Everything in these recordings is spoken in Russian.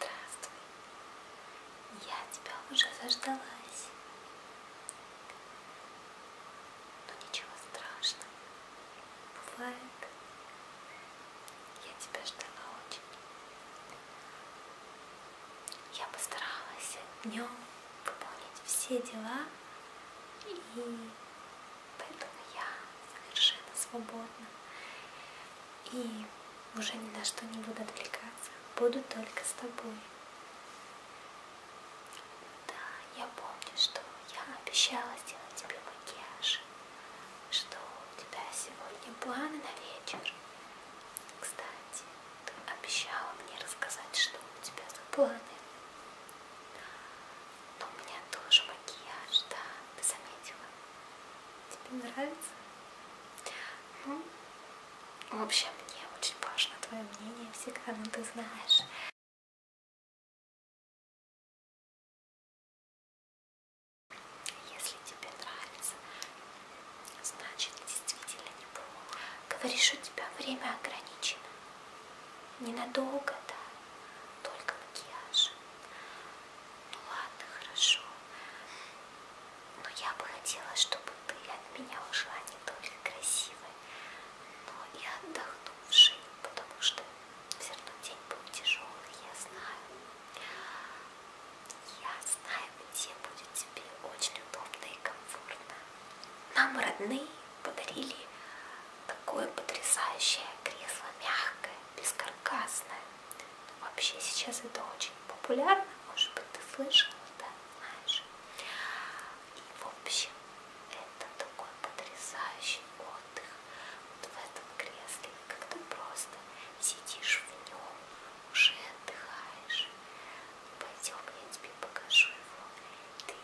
Здравствуй. Я тебя уже заждалась. Но ничего страшного. Бывает. Я тебя ждала очень. Я постаралась днем выполнить все дела, и поэтому я совершенно свободна и уже ни на что не буду отвлекаться, буду только с тобой. Да, я помню, что я обещала сделать тебе макияж, что у тебя сегодня планы на вечер. Кстати, ты обещала мне рассказать, что у тебя за планы. Но у меня тоже макияж, да, ты заметила? Тебе нравится? Ну, в общем, мне очень важно твое мнение всегда, ну ты знаешь. Если тебе нравится, значит действительно неплохо. Говоришь, у тебя время ограничено. Ненадолго, да, только макияж. Ну ладно, хорошо. Но я бы хотела, чтобы ты от меня ушла не только красивой, но и отдохнувшей, потому что все равно день был тяжелый, я знаю. Я знаю, где будет тебе очень удобно и комфортно. Нам родные подарили такое потрясающее кресло, мягкое, бескаркасное. Вообще сейчас это очень популярно, может быть, ты слышала, да, знаешь. И, в общем, это такой потрясающий отдых вот в этом кресле, как ты просто сидишь в нем, уже отдыхаешь. Пойдем, я тебе покажу его. Ты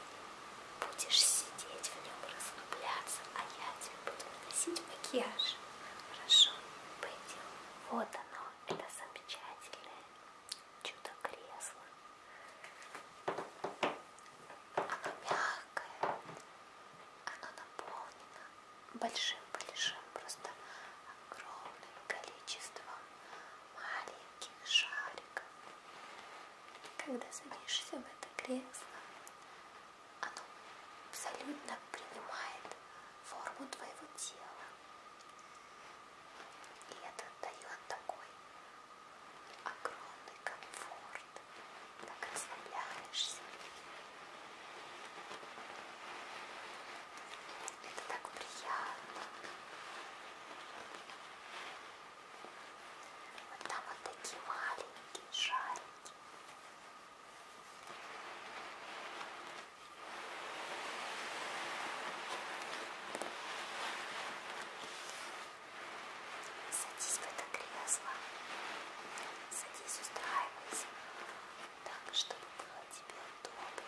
Будешь сидеть в нем, расслабляться, а я тебе буду наносить макияж. Хорошо, пойдем. Вот оно, это замечательное чудо-кресло. Оно мягкое, оно наполнено большим-большим, просто огромным количеством маленьких шариков. Когда садишься в это кресло, оно абсолютно принимает форму твоего тела. И это дает такой огромный комфорт. Так расслабляешься. Это так приятно. Вот там вот такие маленькие шарики. Садись в это кресло. Садись, устраивайся. Так, чтобы было тебе удобно.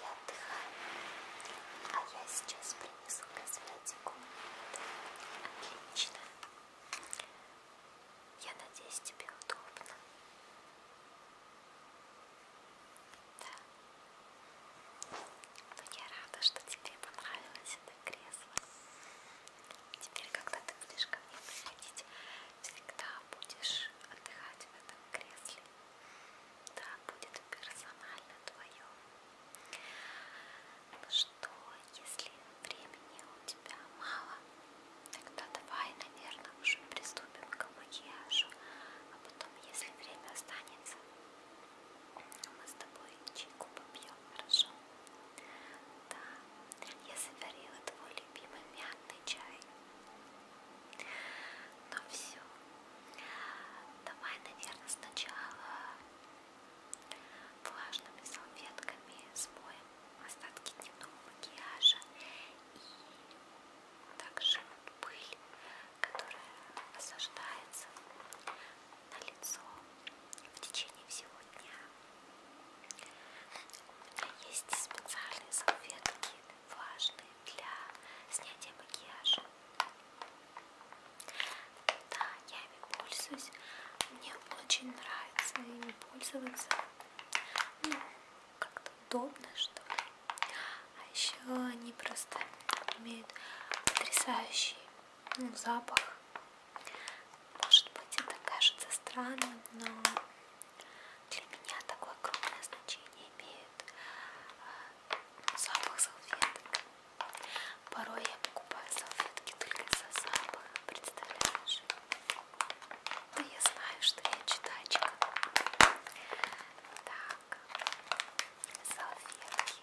Я отдыхаю, а я сейчас принесу косметику. Отлично. Я надеюсь, тебе удобно. Да. Но я рада, что тебе понравилось это кресло. Теперь, когда ты будешь ко мне приходить, всегда будешь отдыхать в этом кресле. Да, будет персонально твое. Ну что, если времени у тебя мало, тогда давай, наверное, уже приступим к макияжу. А потом, если время останется, мы с тобой чайку попьем, хорошо? Да, я заварила твой любимый мятный чай. Ну все, давай, наверное, сначала влажными салфетками смоем остатки дневного макияжа и также пыль, которая осаждается на лицо в течение всего дня. У меня есть специальные салфетки влажные для снятия макияжа. Да, я ими пользуюсь. Мне очень нравится ими пользоваться. Ну, как-то удобно, что ли. А еще они просто имеют потрясающий ну, запах. Может быть, это кажется странным, но для меня такое огромное значение имеет э, запах салфеток. Порой я покупаю салфетки только из-за запаха, представляешь? Да ну, я знаю, что я читачка. Так, салфетки.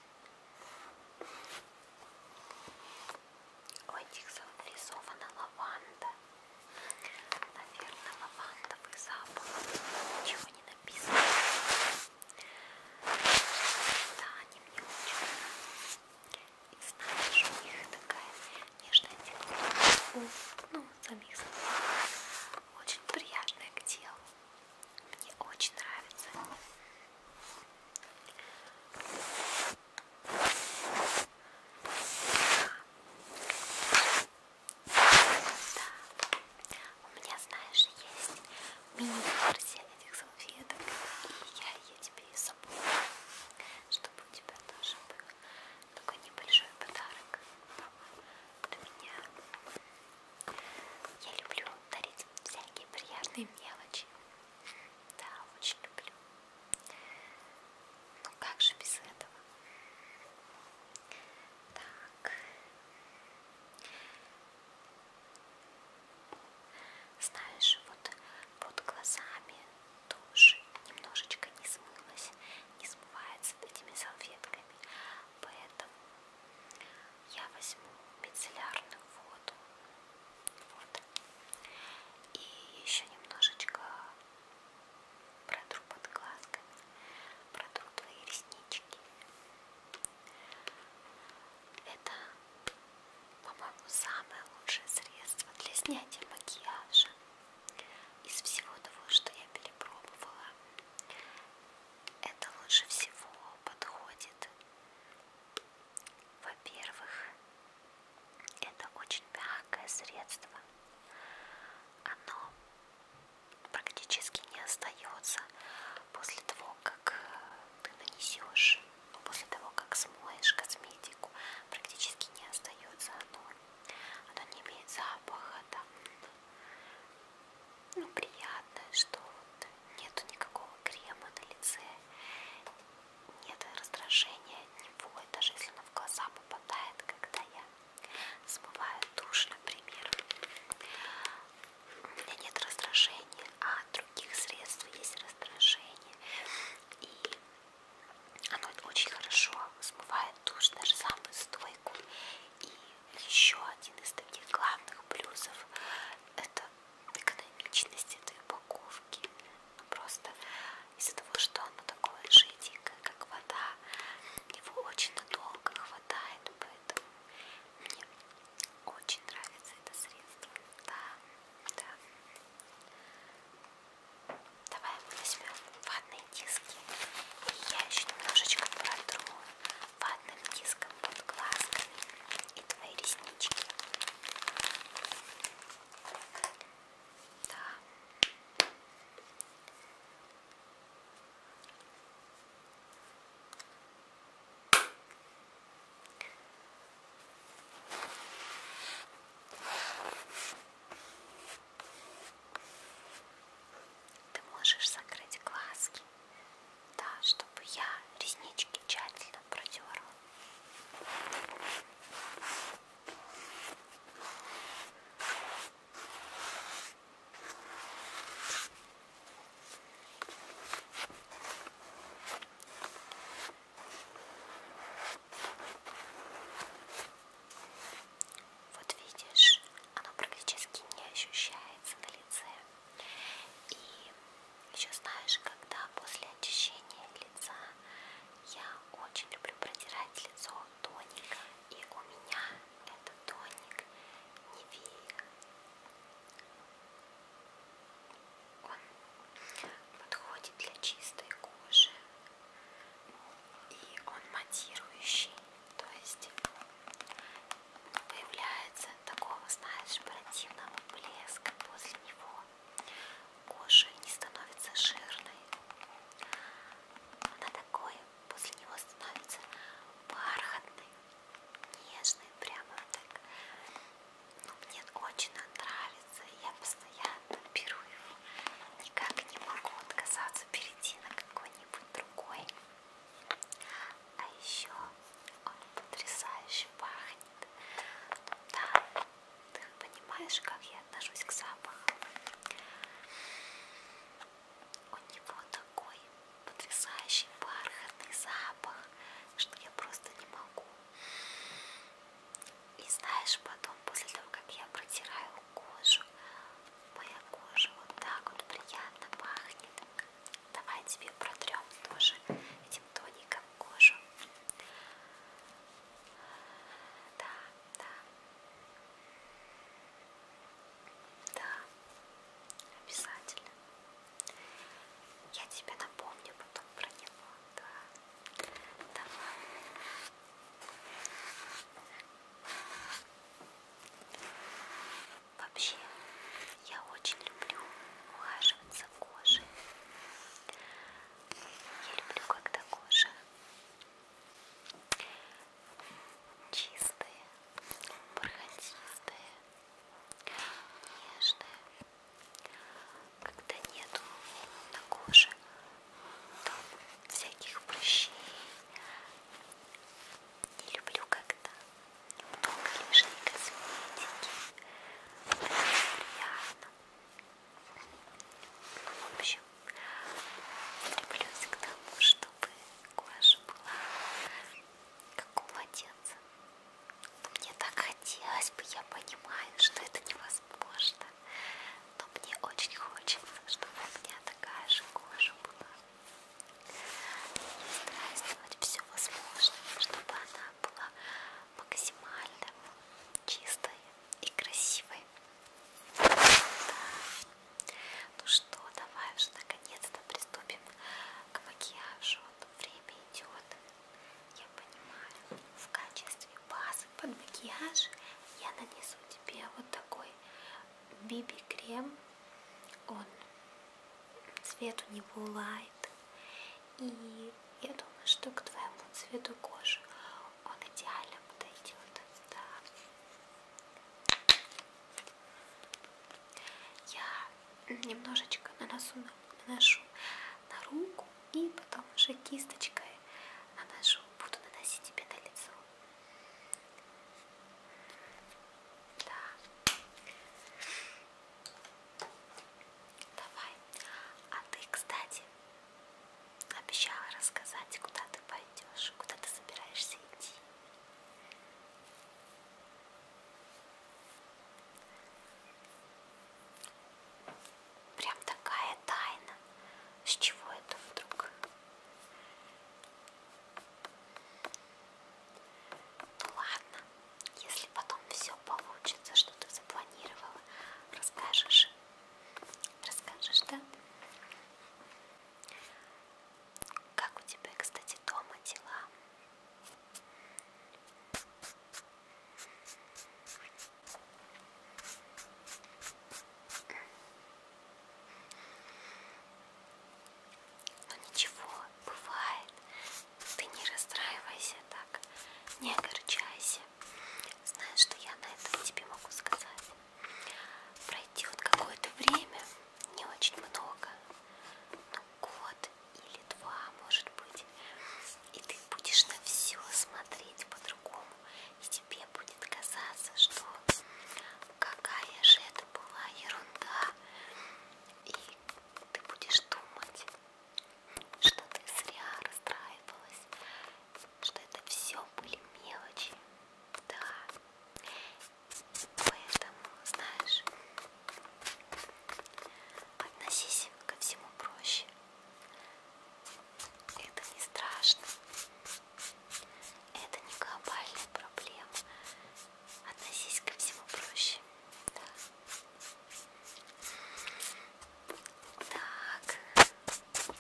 Ой, Диксон, нарисована лаванда. Наверное, лавандовый запах. Ничего не написано. Да, они мне очень нравятся. И знаешь, у них такая нежная текстура. Ну, самих Очень приятная к телу. Мне очень нравится. У меня, знаешь, есть мини-версия этих салфеток, и я ее тебе и собой, чтобы у тебя тоже был такой небольшой подарок от меня. Я люблю дарить всякие приятные мелочи. Да, очень люблю. Ну как же без этого? Так. Знаешь, вот под глазами тушь немножечко не смылась, не смывается этими салфетками, поэтому я возьму мицеллярную воду вот. и еще немножечко протру под глазками, протру твои реснички. Это, по-моему, самое лучшее средство для снятия макияжа. Из всего того, что я перепробовала, это лучше всего подходит во-первых, это очень мягкое средство. Оно практически не остается после того, как ты нанесешь, ну, после того, как смоешь косметику, практически не остается оно. Оно не имеет запаха, там, ну, приятное, что вот нету никакого крема на лице, нет раздражения, не будет, даже если оно в глаза попадает, когда я смываю тушь, например. У меня нет раздражения, а от других средств есть раздражение. И оно очень хорошо смывает тушь, даже самую стойку. И еще один из таких главных плюсов это экономичность этой упаковки. Ну, просто из-за того, что оно такое жиденькое, как вода, его очень надолго хватает, поэтому мне очень нравится это средство. Да, да. Давай возьмем ватные диски. И я еще немножечко протру ватным диском под глазками и твои реснички. Да. Ты можешь закрыть глазки да, чтобы я реснички тщательно протерла. Вот видишь, оно практически не ощущается на лице. И еще знаешь, когда после очищения лица я очень люблю протирать лицо тоником. И у меня это тоник Невея. Он подходит для чистой кожи. И он матирующий. То есть появляется такого, знаешь, противного блеска после него. Кожа не становится жирной. Она такой, после него становится бархатной, нежной, прямо так. Ну, мне очень нравится, я постоянно беру его. Никак не могу отказаться перейти на какой-нибудь другой. А еще он потрясающе пахнет. Да, ты понимаешь, как я отношусь к запаху? У него такой потрясающий бархатный запах, что я просто не могу. И знаешь, потом, после того, как я протираю кожу, моя кожа вот так вот приятно пахнет. Давай тебе протрем тоже этим тоником кожу. Да, да. Да, обязательно. Я тебе напомню потом про него. Да. Давай. Вообще, я очень люблю ухаживать за кожей. Я люблю, когда кожа чистая, бархатистая, нежная. Когда нету на коже там всяких прыщей. Не люблю, когда потом ближние косметики. Это приятно. Ну, в общем, стремлюсь к тому, чтобы кожа была как у младенца. Но мне так хотелось бы, я понимаю, что это невозможно. Но мне очень хочется, чтобы у меня такая же кожа была стараюсь сделать все возможное, чтобы она была максимально чистой и красивой. Да. Ну что, давай уже наконец-то приступим к макияжу. Время идет. Я понимаю, в качестве базы под макияж я нанесу тебе вот такой BB-крем он цвет у него лайт и я думаю, что к твоему цвету кожи он идеально подойдет. Да. Я немножечко наносу, наношу на руку и потом уже кисточкой наношу, буду наносить тебе на лицо. Да. Давай. А ты, кстати, обещала рассказать, куда ты пойдешь, куда ты собираешься идти. Прям такая тайна. С чего это вдруг? Ладно, если потом все получится, что ты запланировала, расскажешь. Расскажешь, да? Как у тебя, кстати, дома дела? Но ничего, бывает. Ты не расстраивайся так, не огорчайся. Знаешь, что я на этом тебе могу сказать? Пройдет какое-то время, не очень много, ну год или два, может быть, и ты будешь на все смотреть по-другому, и тебе будет казаться, что какая же это была ерунда, и ты будешь думать, что ты зря расстраивалась, что это все были мелочи. Да. Поэтому, знаешь, относись ко всему проще. Это не страшно. Это не глобальная проблема относись ко всему проще. Да. Так. Ну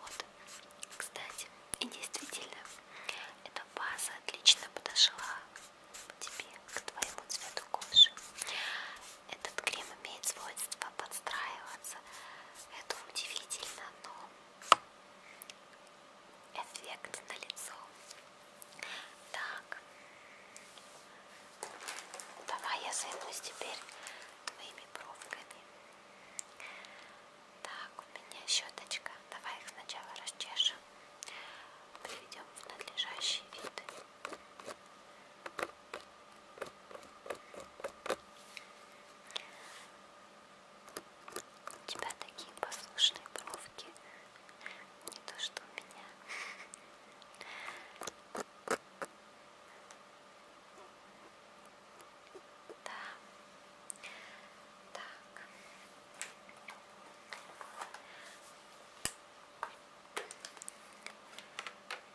вот, кстати, и действительно, это база отлично подошла тебе, к твоему цвету кожи. Этот крем имеет свойство подстраиваться. Это удивительно, но эффект на лицо. Так, давай я займусь теперь твоими бровками. Так, у меня щеточка. Давай их сначала расчешем. Приведем в надлежащий вид. У тебя такие послушные бровки. Не то, что у меня. Да. Так.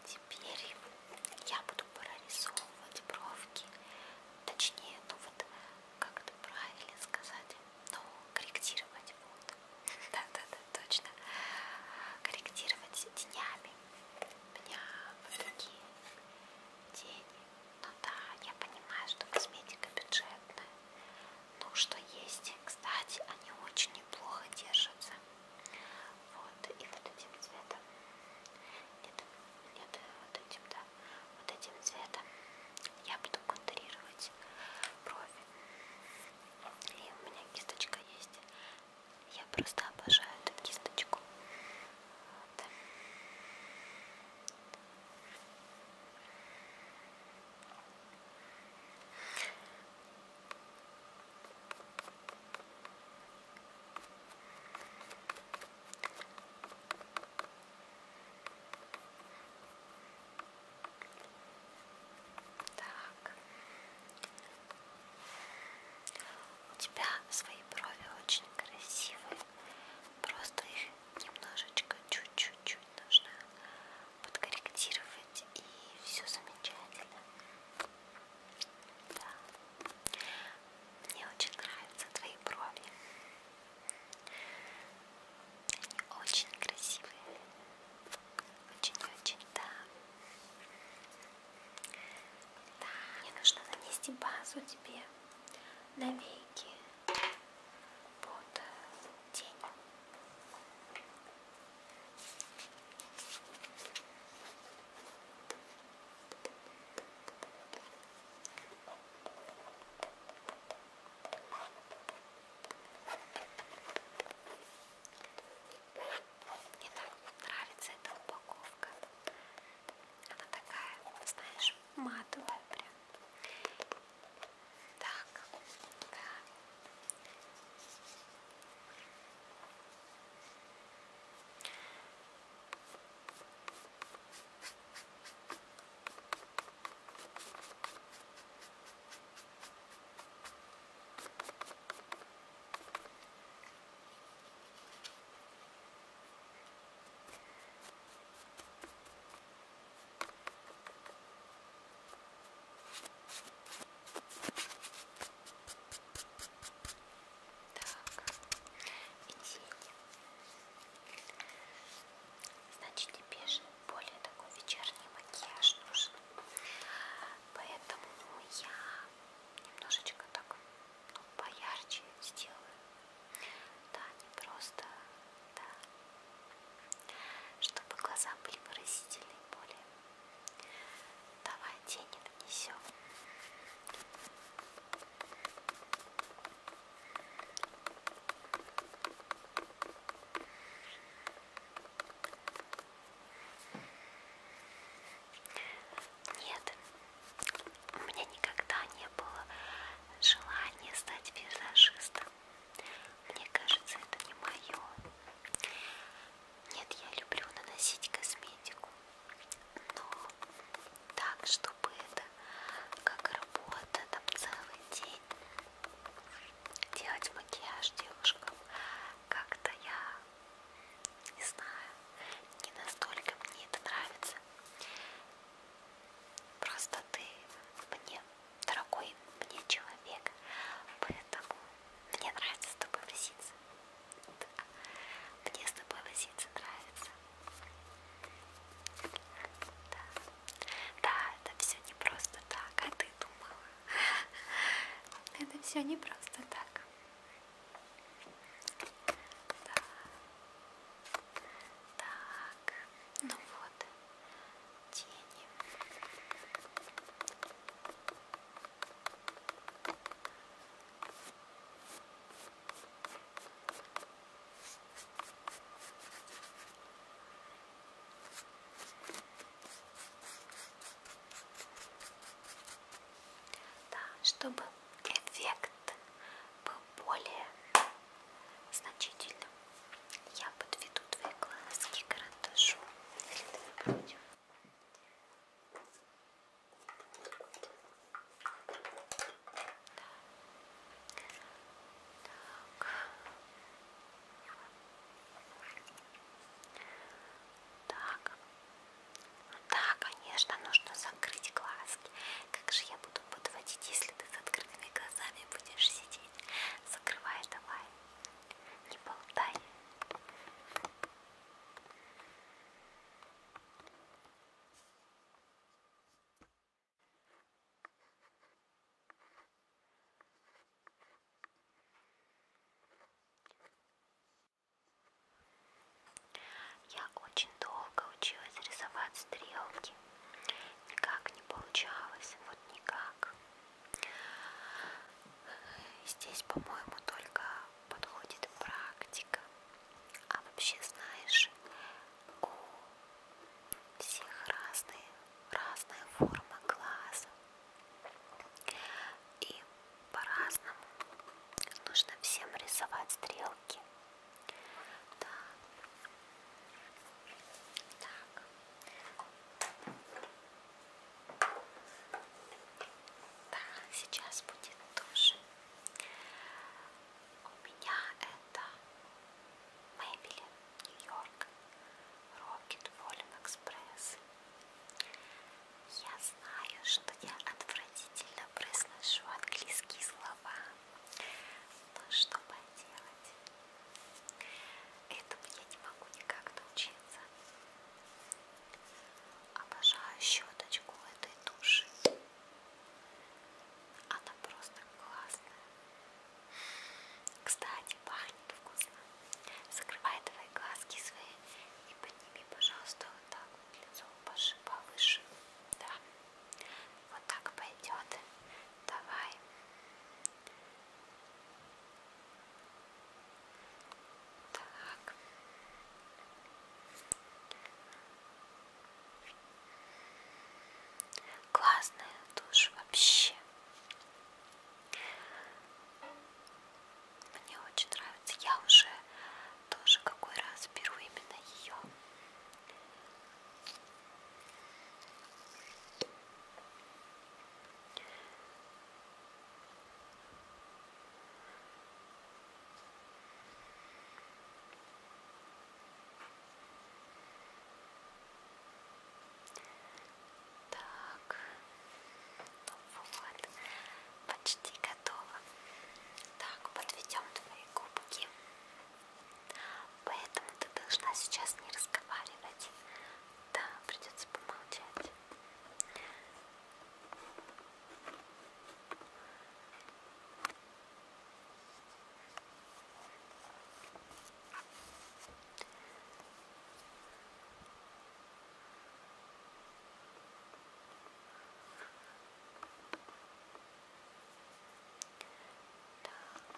Теперь я буду прорисовывать бровки. Точнее, ну вот как это правильно сказать, ну, корректировать вот. Да-да-да, точно. Корректировать тенями. У меня вот такие тени ну да, я понимаю, что косметика бюджетная. Ну что есть, кстати, они очень неплохо держатся. Вот, и вот этим цветом. Нет, нет, вот этим, да. Вот этим цветом я буду контурировать брови. И у меня кисточка есть. Я просто обожаю эту кисточку. Вот. Так. У тебя свои брови очень красивые. Просто их немножечко, чуть-чуть нужно подкорректировать и все замечательно. Да. Мне очень нравятся твои брови. Они очень красивые. Очень-очень, да. Да, мне нужно нанести базу тебе навеки под тень. Мне так нравится эта упаковка. Она такая, знаешь, матовая прям. Так, да. Значит, тебе же более такой вечерний макияж нужен. Поэтому я немножечко так ну, поярче сделаю. Да, не просто, да. Чтобы глаза были выразительные более. Давай тени нанесем. Нет, у меня никогда не было желания стать визажистом. Мне кажется, это не мое. Нет, я люблю наносить косметику, но так, чтобы это как работа, там целый день делать макияж девушкам, как-то я не знаю, не настолько мне это нравится. Просто ты мне, дорогой мне человек, поэтому мне нравится с тобой возиться. Да. Мне с тобой возиться нравится. Да. да, это все не просто так, а ты думала. Это все не просто так. Так. так, ну вот, тени. Да, чтобы эффект был более значительным. Я подведу твои глазки карандашу, если ты не против. Так. так, да, конечно, нужно закрыть глазки. Как же я буду подводить, если ты с открытыми глазами будешь сидеть? Закрывай давай. Не болтай. Я очень долго училась рисовать стрелки. Никак не получалось, вот никак. Здесь, по-моему, только подходит практика. А вообще, знаешь, у всех разные, разная форма глаза. И по-разному нужно всем рисовать стрелки. Да. Так. Да, сейчас будет тоже. У меня это Мэйбели, Нью-Йорк, Rocket Volume Express. Я знаю, что я отвратительно произношу английские слова голова. Ну что поделать? Этому я не могу никак научиться. Обожаю щеточку этой туши. Она просто классная. Кстати, пахнет вкусно. Закрывай твои глазки свои и подними, пожалуйста, вот так вот лицо повыше. Да. Вот так пойдет. Давай. Так. Классная душ вообще. Мне очень нравится. Я уже тоже какой раз беру именно ее. Так, ну вот, почти готово. Так, подведем твои губки. Поэтому ты должна сейчас не разговаривать. Да, придется помолчать. Так,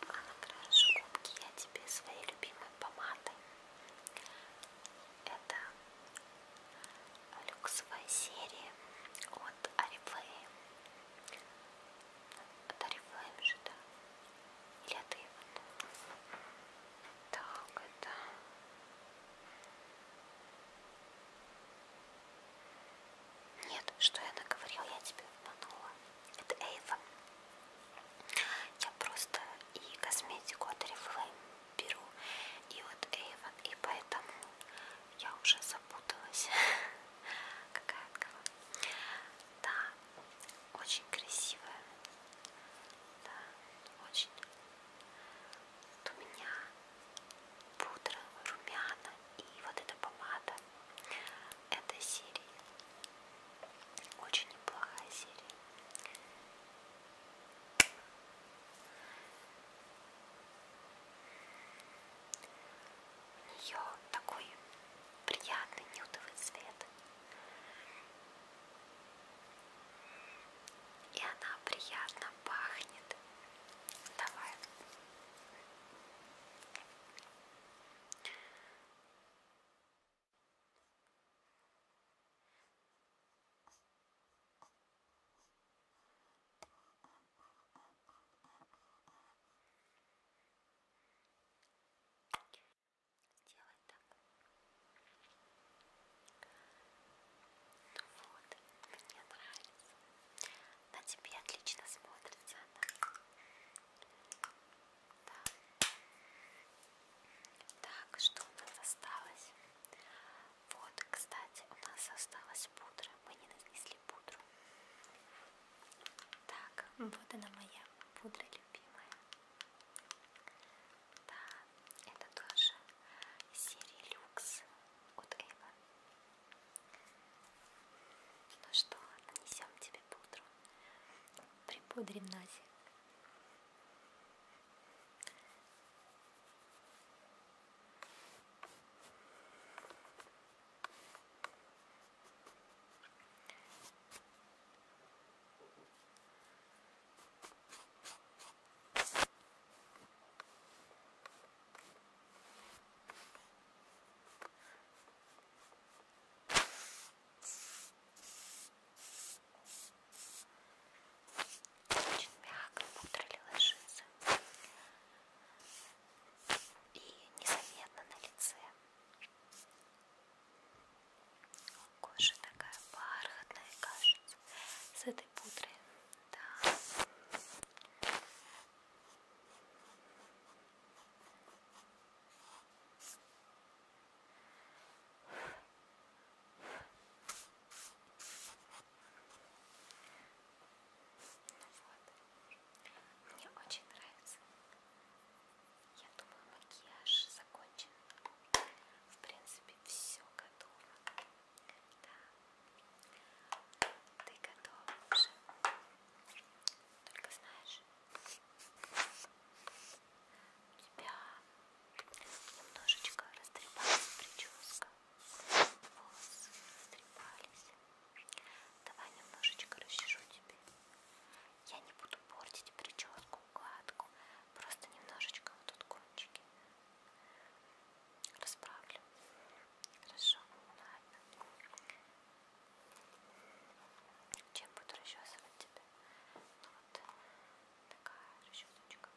а накрашу губки я тебе своей любимой помадой. Это люксовая серия от Арифлейм. От Арифлейм же, да? Или от Ивана? Так, это... Нет, что я наговорил, я тебя обманула. Это Эйва. Я просто и косметику от Oriflame беру, и вот Эйвен, и поэтому я уже запуталась. Какая от кого? Да, очень красивая. Да, очень. Вот у меня пудра, румяна и вот эта помада это серия очень неплохая серия у нее такой приятный нюдовый цвет и она приятно пахнет Давай. Сделай так. Ну вот, мне нравится. На тебе отлично смотрится она. Да. Так, что у нас осталось? Вот, кстати, у нас осталась пудра. Мы не нанесли пудру. Так, вот она моя пудра любимая. Да, это тоже серия люкс от Эйва ну что, нанесем тебе пудру. Припудрим носик. Очень мягко пудрили ложится и незаметно на лице. Кожа такая бархатная, кажется. С этой этой пудры. Да. Вот. Мне очень нравится. Я думаю, макияж закончен. В принципе, все готово. Да. Ты готов уже. Только знаешь, у тебя немножечко растрепалась прическа. Волосы растрепались. Давай немножечко расчешу тебе. Я не буду портить прическу, гладку. Просто немножечко вот тут кончики. Расправлю. Хорошо, ладно. Чем буду расчесывать тебя? Ну вот такая расчесочка.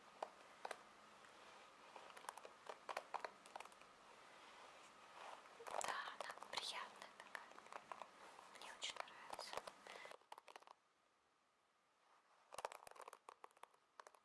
Да, она приятная такая. Мне очень нравится.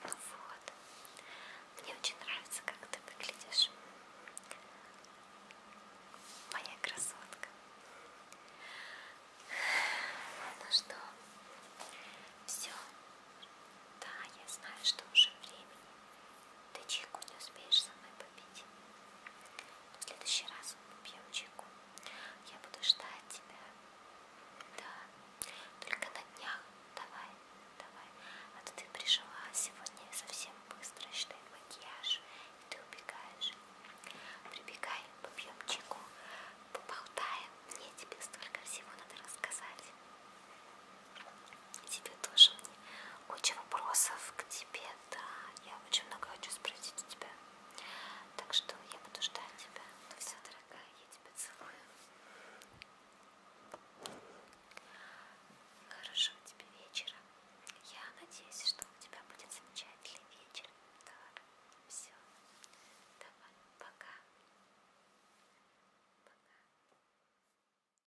Ну вот, мне очень нравится, как ты выглядишь, моя красотка. Ну что, все. Да, я знаю, что уже времени. Ты чайку не успеешь со мной попить пить. Но в следующий раз попьем чайку. Я буду ждать тебя. Да, только на днях. Давай, давай. А то ты пришла сегодня совсем быстро, считай макияж, и ты убегаешь. Прибегай, попьем чайку, поболтаем. Мне тебе столько всего надо рассказать. Тебе тоже куча вопросов к тебе, да. Я очень много хочу спросить у тебя. Так что я буду ждать тебя. Ну все, дорогая, я тебя целую. Хорошего тебе вечера. Я надеюсь, что у тебя будет замечательный вечер. Так, все. Давай, пока. Пока.